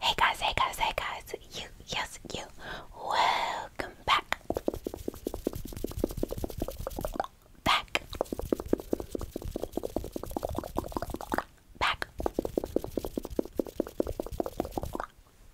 Hey guys, hey guys, hey guys, you, yes, you, welcome back, back, back,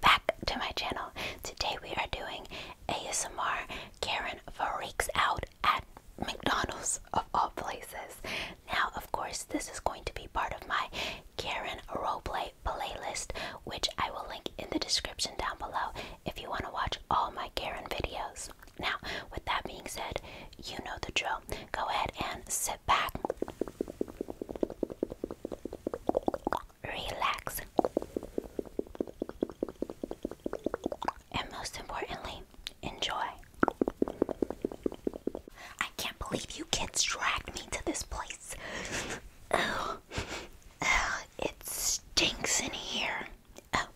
back to my channel. Today we are doing ASMR Karen Freaks Out at McDonald's of all places. Now, of course, this is going to be part of my Karen roleplay playlist, which I will link in the description down below if you want to watch all my Karen videos. Now, with that being said, you know the drill. Go ahead and sit back, relax, and most importantly, Enjoy. I can't believe you kids dragged me to this place. Oh, oh, it stinks in here. Oh,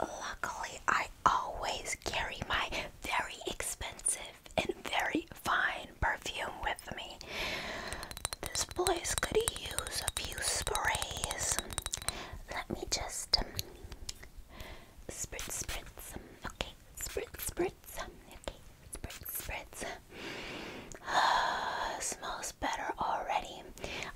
luckily, I always carry my very expensive and very fine perfume with me. This place could use a few sprays. Let me just um, Spritz, spritz. Um, okay, spritz, spritz. Um, okay, spritz, spritz. Uh, smells better already.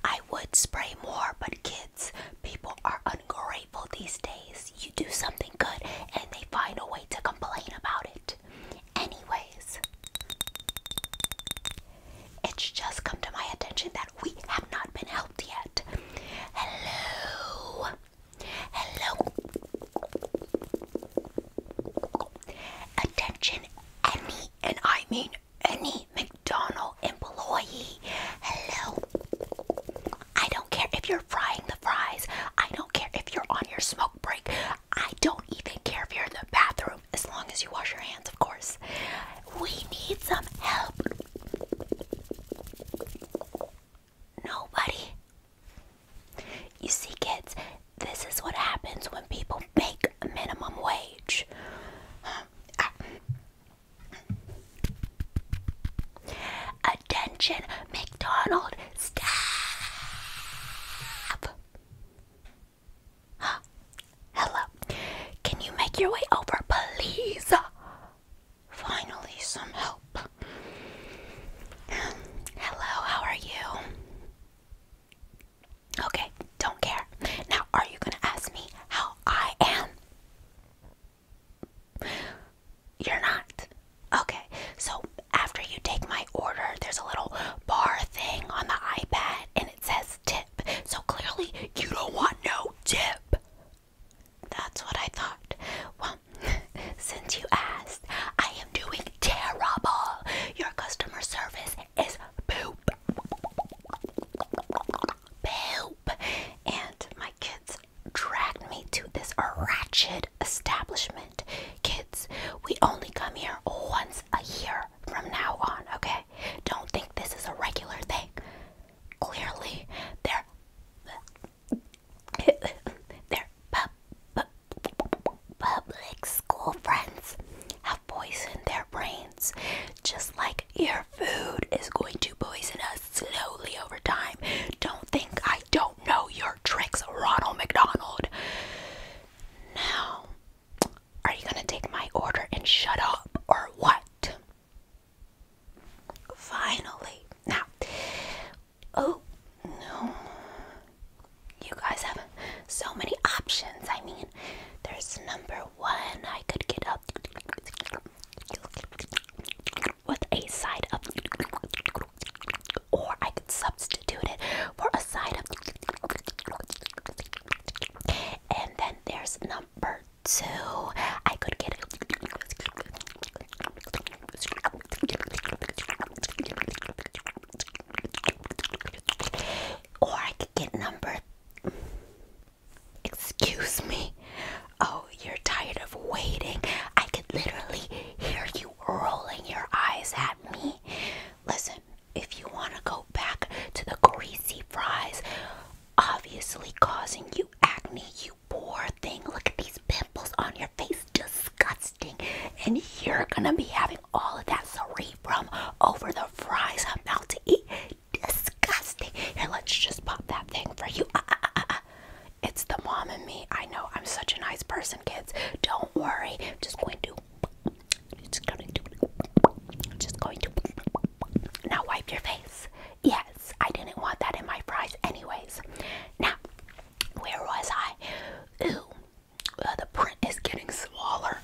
I would spray more, but kids, people are ungrateful these days. You do something good and they find a way to complain about it. Anyways, it's just come to my attention that we have not been helped yet. Hello. Hello. Attention, any, and I mean any McDonald employee. Hello. I don't care if you're frying the fries. I don't care if you're on your smoke break. I don't even care if you're in the bathroom, as long as you wash your hands, of course. We need some help. Nobody. You see, kids, this is what happens when people make minimum wage. Attention, McDonald's staff. Hello. Can you make your way over, please? Finally, some help. Hello, how are you? Okay, don't care. Now, are you going to ask me how I am? You're not. Okay, so after you take my order, there's a little bar thing on the iPad and it says tip. So clearly, you don't want no tip. That's what I thought. Well, since you asked, I am doing terrible. Your customer service is poop. Poop. And my kids dragged me to this ratchet establishment. Kids, we only come here once a year from now on, okay? Don't think this is a regular thing clearly their their pub, public school friends have poisoned their brains, just like your food is going to poison us slowly over time. Don't think I don't know your tricks, Ronald McDonald. Now, are you gonna take my order and shut up, or what? Finally. Now, oh no. You guys have so many options. I mean, there's number one. I could get up with a side of, or I could substitute it for a side of. And then there's number so I could get or I could get number excuse me oh you're tired of waiting I could literally hear you rolling your eyes at me listen if you want to go back to the greasy fries obviously causing you acne, you poor thing. Look at these pimples on your face, disgusting. And you're gonna be having all of that from over the fries I'm about to eat. Disgusting. Here, let's just pop that thing for you. Uh, uh, uh, It's the mom and me. I know I'm such a nice person, kids. Don't worry. I'm just going to. Just going to. Just going to. Now wipe your face. Yes, I didn't want that in my fries, anyways. Now, where was I? Ooh, uh, the print is getting smaller.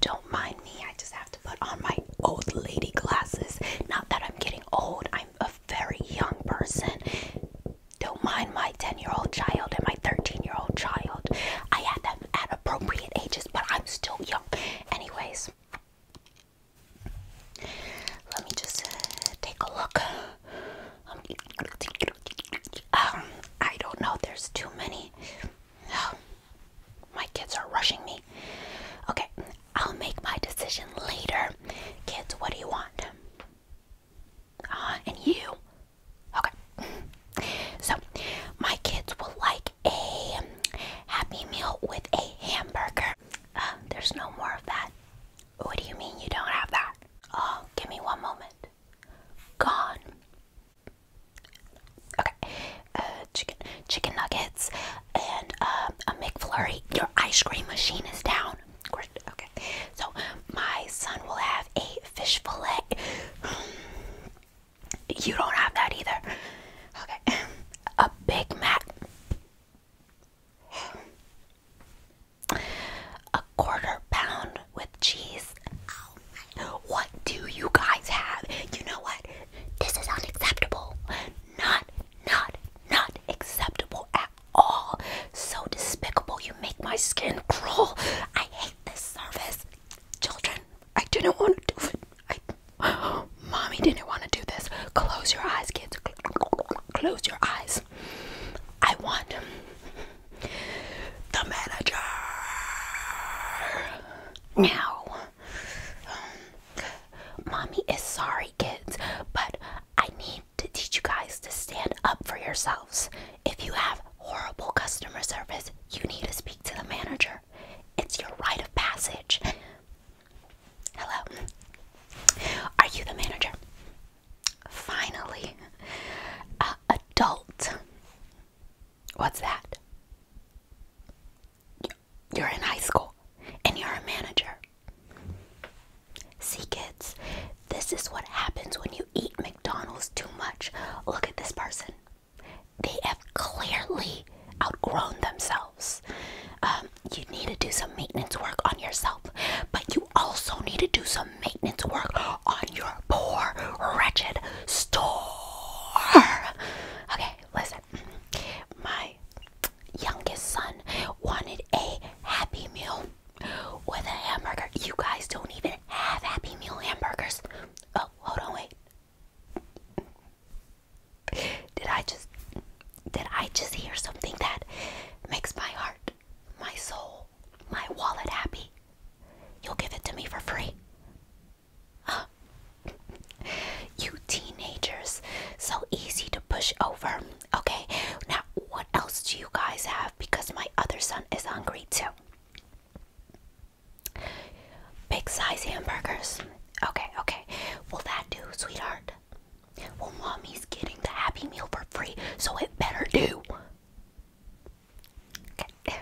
don't mind me. I just have to put on my old lady glasses. Not that I'm getting old. I'm a very young person. Don't mind my 10 year old child and my 13 year old child. I had them at appropriate ages, but I'm still young. Anyways, let me just uh, take a look. Um, I don't know. There's too many. Oh, my kids are rushing me. Okay, I'll make my decision later. Kids, what do you want? Uh, and you? Okay. So, my kids will like a Happy Meal with a hamburger. Um, there's no more of that. What do you mean you don't have that? Oh, give me one moment. Gone. Okay. Uh, chicken, chicken nuggets and um, a McFlurry. Your ice cream machine is down. Okay. So my son will have a fish fillet. You don't have that either. Okay. A Big Mac. A quarter pound with cheese. What do you guys have? You know what? This is unacceptable. Not, not, not acceptable at all. So despicable. You make my skin crawl. I hate this service. Children, I didn't want to do it. mommy didn't want to do this. Close your eyes, kids. Close your eyes. I want the manager now. mommy is sorry, kids, but I need to teach you guys to stand up for yourselves. If you have horrible customer service, you need to speak to the manager. It's your rite of passage. Hello. Are you the manager? Finally. a adult. What's that? You're in high school and you're a manager. See, kids, this is what happens when you eat McDonald's too much. Look at this person. They have clearly outgrown themselves. Um, you need to do some maintenance work on yourself, but you also need to do some maintenance work on your poor, wretched store. Okay, listen. My youngest son wanted a Happy Meal with a hamburger. You guys don't even have Happy Meal hamburgers. Oh, hold on, wait did I just did I just hear something that makes my heart, my soul, my wallet happy? You'll give it to me for free. Huh. You teenagers, so easy to push over. Okay, now what else do you guys have? Because my other son is hungry too. Big size hamburgers. Okay, okay. Will that do, sweetheart? Well, mommy's getting the Happy Meal for free, so it better do.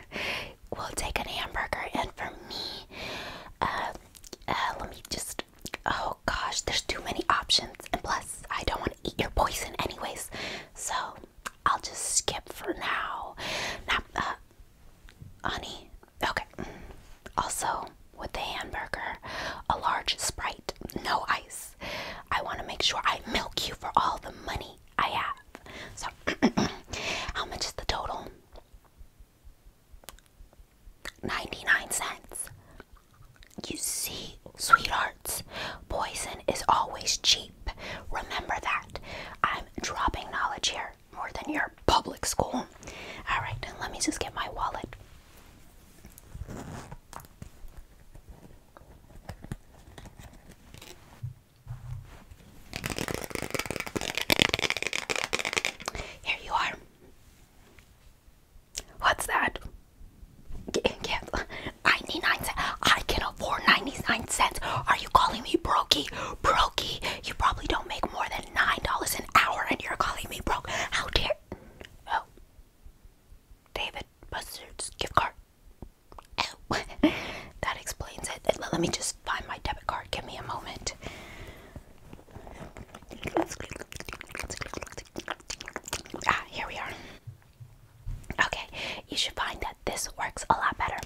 We'll take an hamburger, and for me, uh, uh, let me just. Oh gosh, there's too many options, and plus, I don't want to eat your poison, anyways. So I'll just skip for now. Now, uh, honey, Okay. Also, with the hamburger, a large sprite, no ice. I want to make sure I milk you for all the money I have. So, how much is the total? 99 cents. You see, sweethearts, poison is always cheap. Remember that. I'm dropping knowledge here more than your public school. All right, let me just get my wallet. Here you are. What's that? Get, ninety nine cents. I can afford ninety nine cents. Are you calling me brokey? Brokey, you probably don't make more than. $9 an hour and you're calling me broke. How dare. Oh. David Buster's gift card. Oh. that explains it. Let me just find my debit card. Give me a moment. Ah, here we are. Okay, you should find that this works a lot better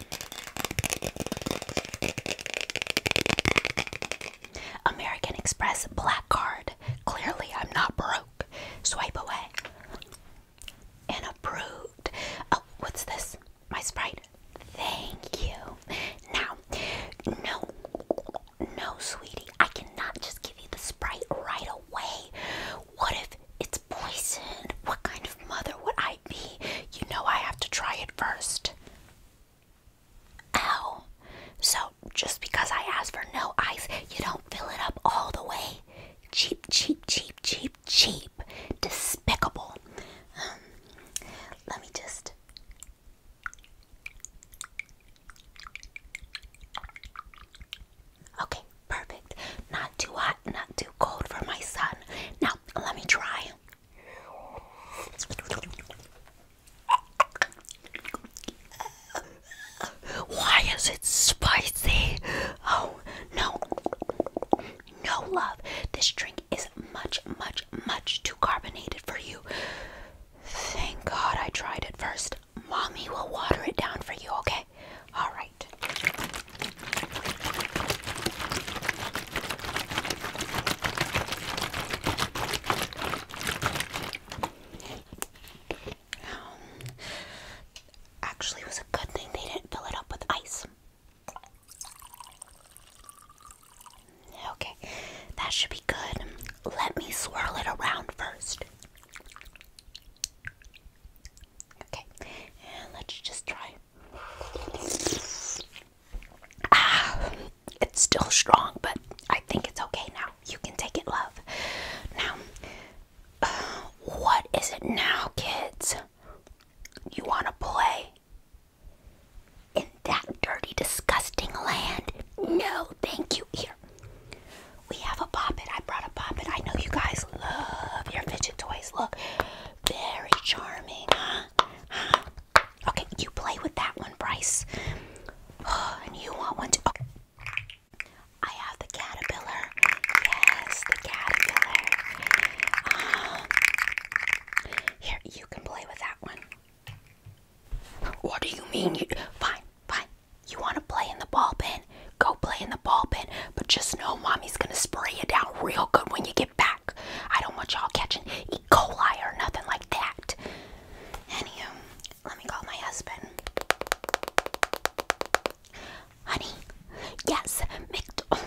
American Express Black Card. Clearly, I'm not broke. Swipe away. And approved. Oh, what's this? My Sprite. Thank you. Now, no, no, sweetie. I cannot just give you the Sprite right away. What if it's poisoned? What kind of mother would I you know I have to try it first. Oh, So just because I asked for no ice, you don't fill it up all the way. Cheap, cheap, cheap, cheap, cheap. Despicable. Um, let me just. Okay, perfect. Not too hot, not too cold for my son. Now, let me try. Why is it spicy? Oh, no. No, love. This drink is much, much, much too carbonated for you. Thank God I tried it first. Mommy will water it down for you, okay? All right actually, it was a good thing they didn't fill it up with ice. Okay, that should be good. Let me swirl it around first. Okay, and let's just try Ah, it's still strong, but I think it's okay now. You can take it, love. Now, uh, what is it now, kids? You want to play? In that dirty, disgusting land? No, thank you. Here, we have a poppet. I brought a poppet. I know you guys love your fidget toys. Look, very charming, huh? Okay, you play with that one, Bryce. and you want one too. Oh. I have the caterpillar. Yes, the caterpillar. Um, here, you can play with that one. What do you mean? You, fine, fine. You want to play in the ball pin? Go play in the ball pin. But just know mommy's going to spray you down real good when you get back. I don't want y'all catching E. coli or nothing like that. Anywho, let me call my husband. Honey, yes, Mc oh,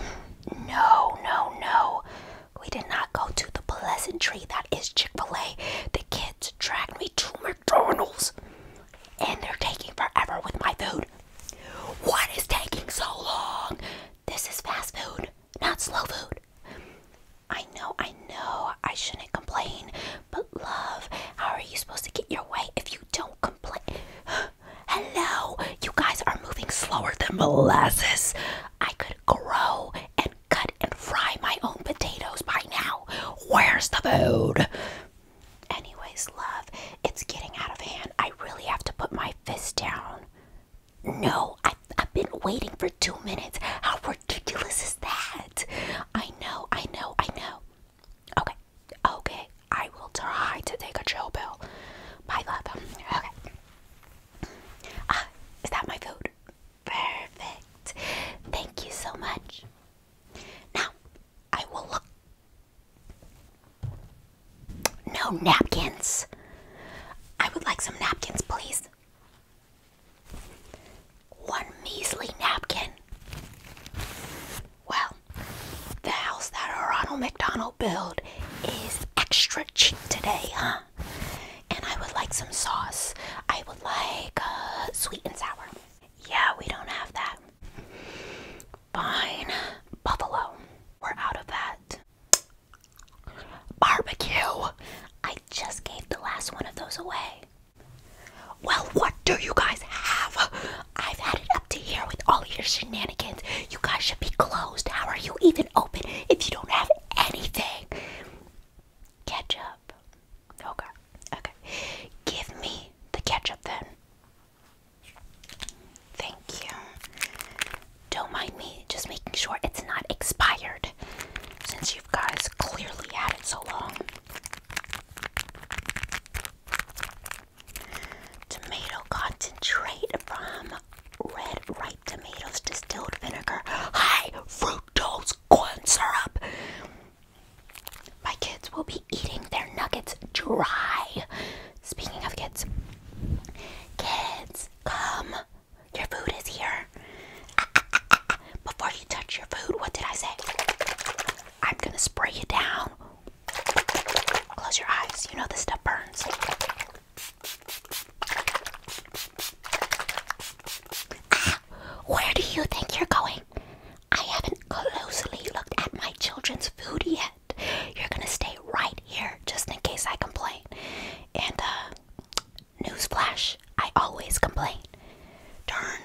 No, no, no. We did not go to the tree. that is Chick fil A. The kids dragged me to McDonald's and they're taking forever with my food. What is taking so long? This is fast food, not slow food. I know, I know, I shouldn't complain, but love, how are you supposed to get your way if you don't complain? Hello, you guys are moving slower than molasses. I could grow and cut and fry my own potatoes by now. Where's the food? Anyways, love, it's getting out of hand. I really have to put my fist down. No, I, have been waiting for two minutes. How ridiculous is that? I know, I know, I know. Okay, okay, I will try to take a chill pill. My love. Okay. Ah, is that my food? Perfect. Thank you so much. Now, I will look no napkins. I would like some napkins, please. One measly napkin. Well, the house that Ronald McDonald built is extra cheap today, huh? And I would like some sauce. I would like uh, sweet and sour. Yeah, we don't have that. Fine. Buffalo. We're out of that. Barbecue! I just gave the last one of those away. Well, what do you guys have? I've had it up to here with all your shenanigans. You guys should be closed. How are you even open if you don't have anything? Ketchup. Okay. Okay. Give me the ketchup then. Thank you. Don't mind me just making sure it's not expired since you guys clearly had it so long. Tomato concentrate from red ripe tomatoes, distilled vinegar, high fructose corn syrup. My kids will be eating their nuggets dry. Speaking of kids, Kids, come. Your food is here. Before you touch your food, what did I say? I'm gonna spray you down. Close your eyes. You know this stuff burns. where do you think you're going? I haven't closely looked at my children's food yet. You're gonna stay right here just in case I complain. And uh newsflash, I always complain. Darn.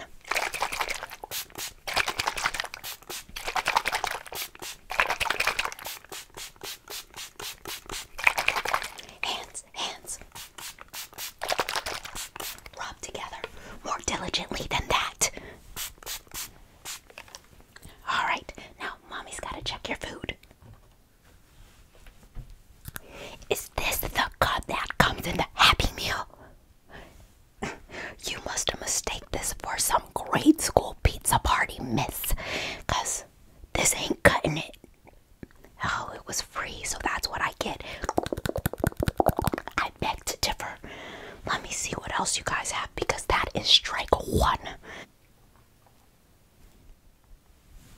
Hands, hands. Rub together more diligently than that. All right, now mommy's got to check your food. Is this the cut that comes in the Happy Meal? you must have mistaken this for some grade school pizza party, miss, because this ain't cutting it. Oh, it was free, so that's what I get. I beg to differ. Let me see what else you guys have because that is strike one.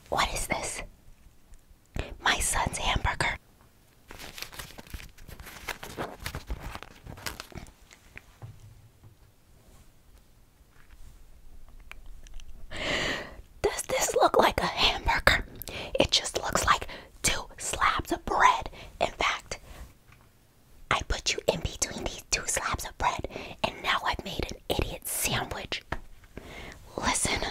What is this? My son's hamburger. Does this look like a hamburger? It just looks like two slabs of bread. In fact, I put you in between these two slabs of bread, and now I've made an idiot sandwich. Listen,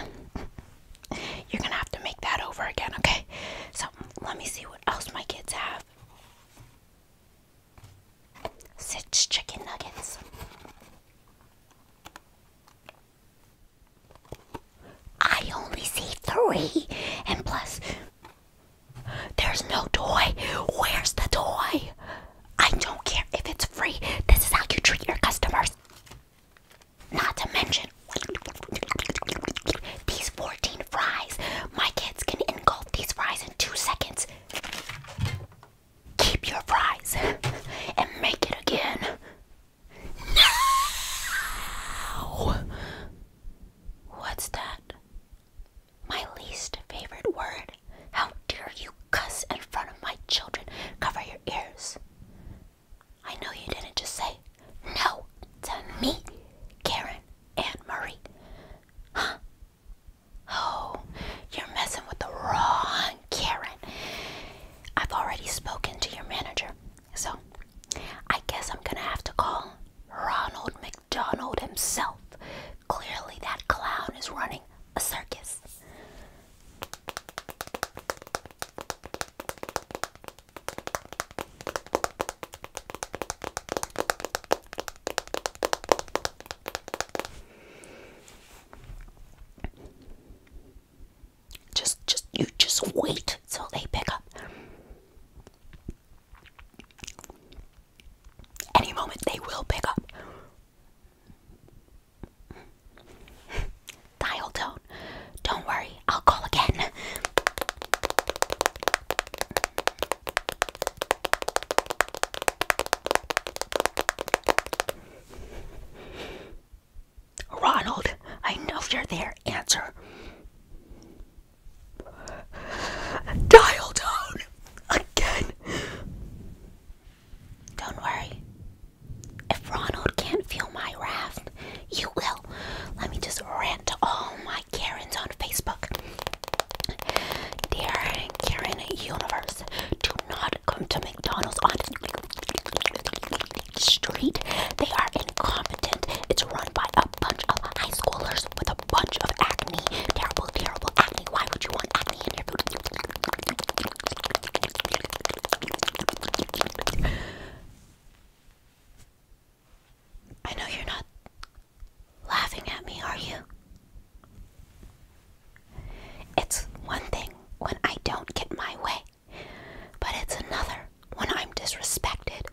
you're gonna have to make that over again, okay? So let me see what else my kids have. Six chicken nuggets. I only see three, and plus, there's no toy. Where's the toy? I don't care if it's free. This is how you treat your customers. Not to mention these 14 fries. My kids can engulf these fries in two seconds. Keep your fries and make it again. No! What's that? My least favorite word. How dare you cuss in front of my children? Cover your ears. I know you didn't just say no to me, Karen and Marie. Huh? Oh, you're messing with the wrong Karen. I've already spoken to your manager, so I guess I'm gonna have to call Ronald McDonald. Donald himself. Clearly, that clown is running a circus. Just, just, you just wait till they pick up. Any moment they will pick up. Dial tone. Don't worry, I'll call again. Ronald, I know you're there. Answer. Dial tone again. Don't worry. If Ronald can't feel my wrath, you will. Let me just rant to all my Karens on Facebook. Dear Karen Universe, do not come to McDonald's on Street. They are incompetent. It's run by a bunch of high schoolers with a bunch of acne. Terrible, terrible acne. Why would you want acne in your food? I know you're not laughing at me, are you? It's one thing when I don't get my way, but it's another when I'm disrespected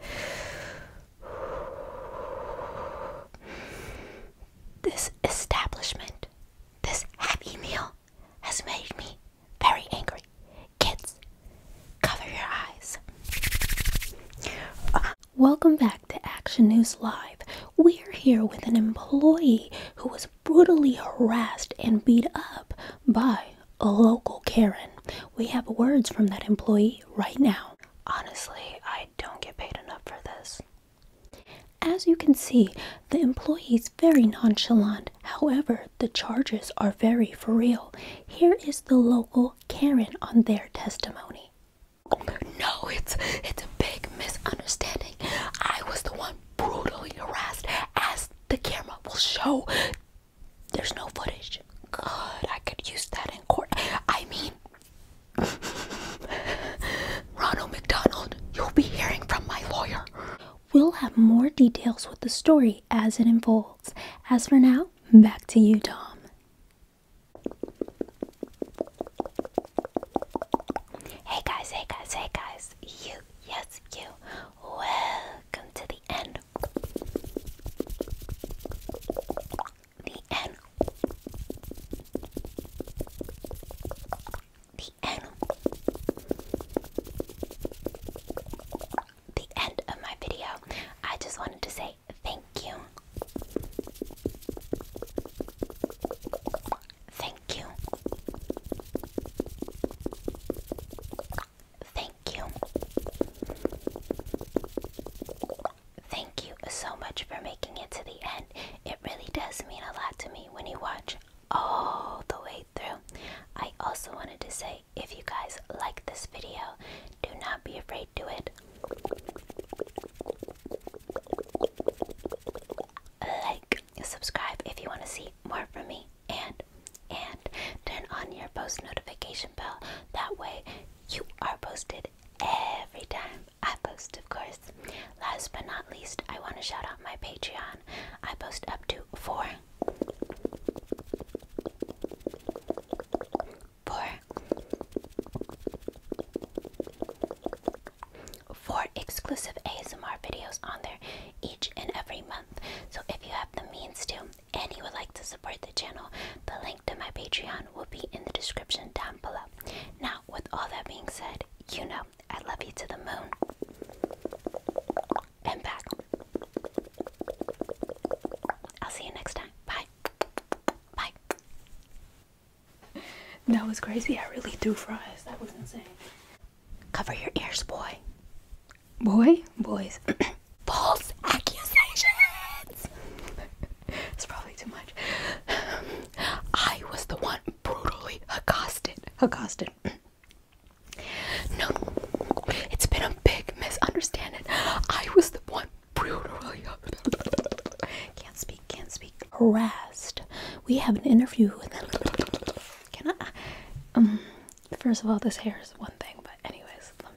this establishment, this happy meal, has made me very angry. Kids, cover your eyes. Uh, welcome back to Action News Live. We're here with an employee who was brutally harassed and beat up by a local Karen. We have words from that employee right now. Honestly, I don't get paid enough for this. As you can see, the employee is very nonchalant. However, the charges are very for real. Here is the local Karen on their testimony. No, it's it's a big misunderstanding. I was the one brutally harassed as the camera will show. There's no footage good. I could use that in court. I mean, Ronald McDonald, you'll be hearing from my lawyer. We'll have more details with the story as it unfolds. As for now, back to you, Tom. Hey guys, hey guys, hey guys. You, yes, you. Welcome to the end. The end. The end. The end of my video. I just wanted to say thank you. Thank you. Thank you thank you so much for making it to the end. It really does mean a lot to me when you watch all the way through. I also wanted to say if you guys like this video, do not be afraid to it. Like, subscribe if you want to see more from me and and turn on your post notification bell. That way you are posted every time I post, of course. Last but not least, I want to shout out my Patreon. I post up to four. exclusive ASMR videos on there each and every month. So if you have the means to, and you would like to support the channel, the link to my Patreon will be in the description down below. Now, with all that being said, you know I love you to the moon and back. I'll see you next time. Bye. Bye. That was crazy. I really threw fries. That was insane. Cover your ears, boy. Boy? Boys. false accusations. it's probably too much. I was the one brutally accosted. Accosted. no, it's been a big misunderstanding. I was the one brutally. can't speak. Can't speak. Harassed. We have an interview Can I? Um. First of all, this hair is one thing, but anyways.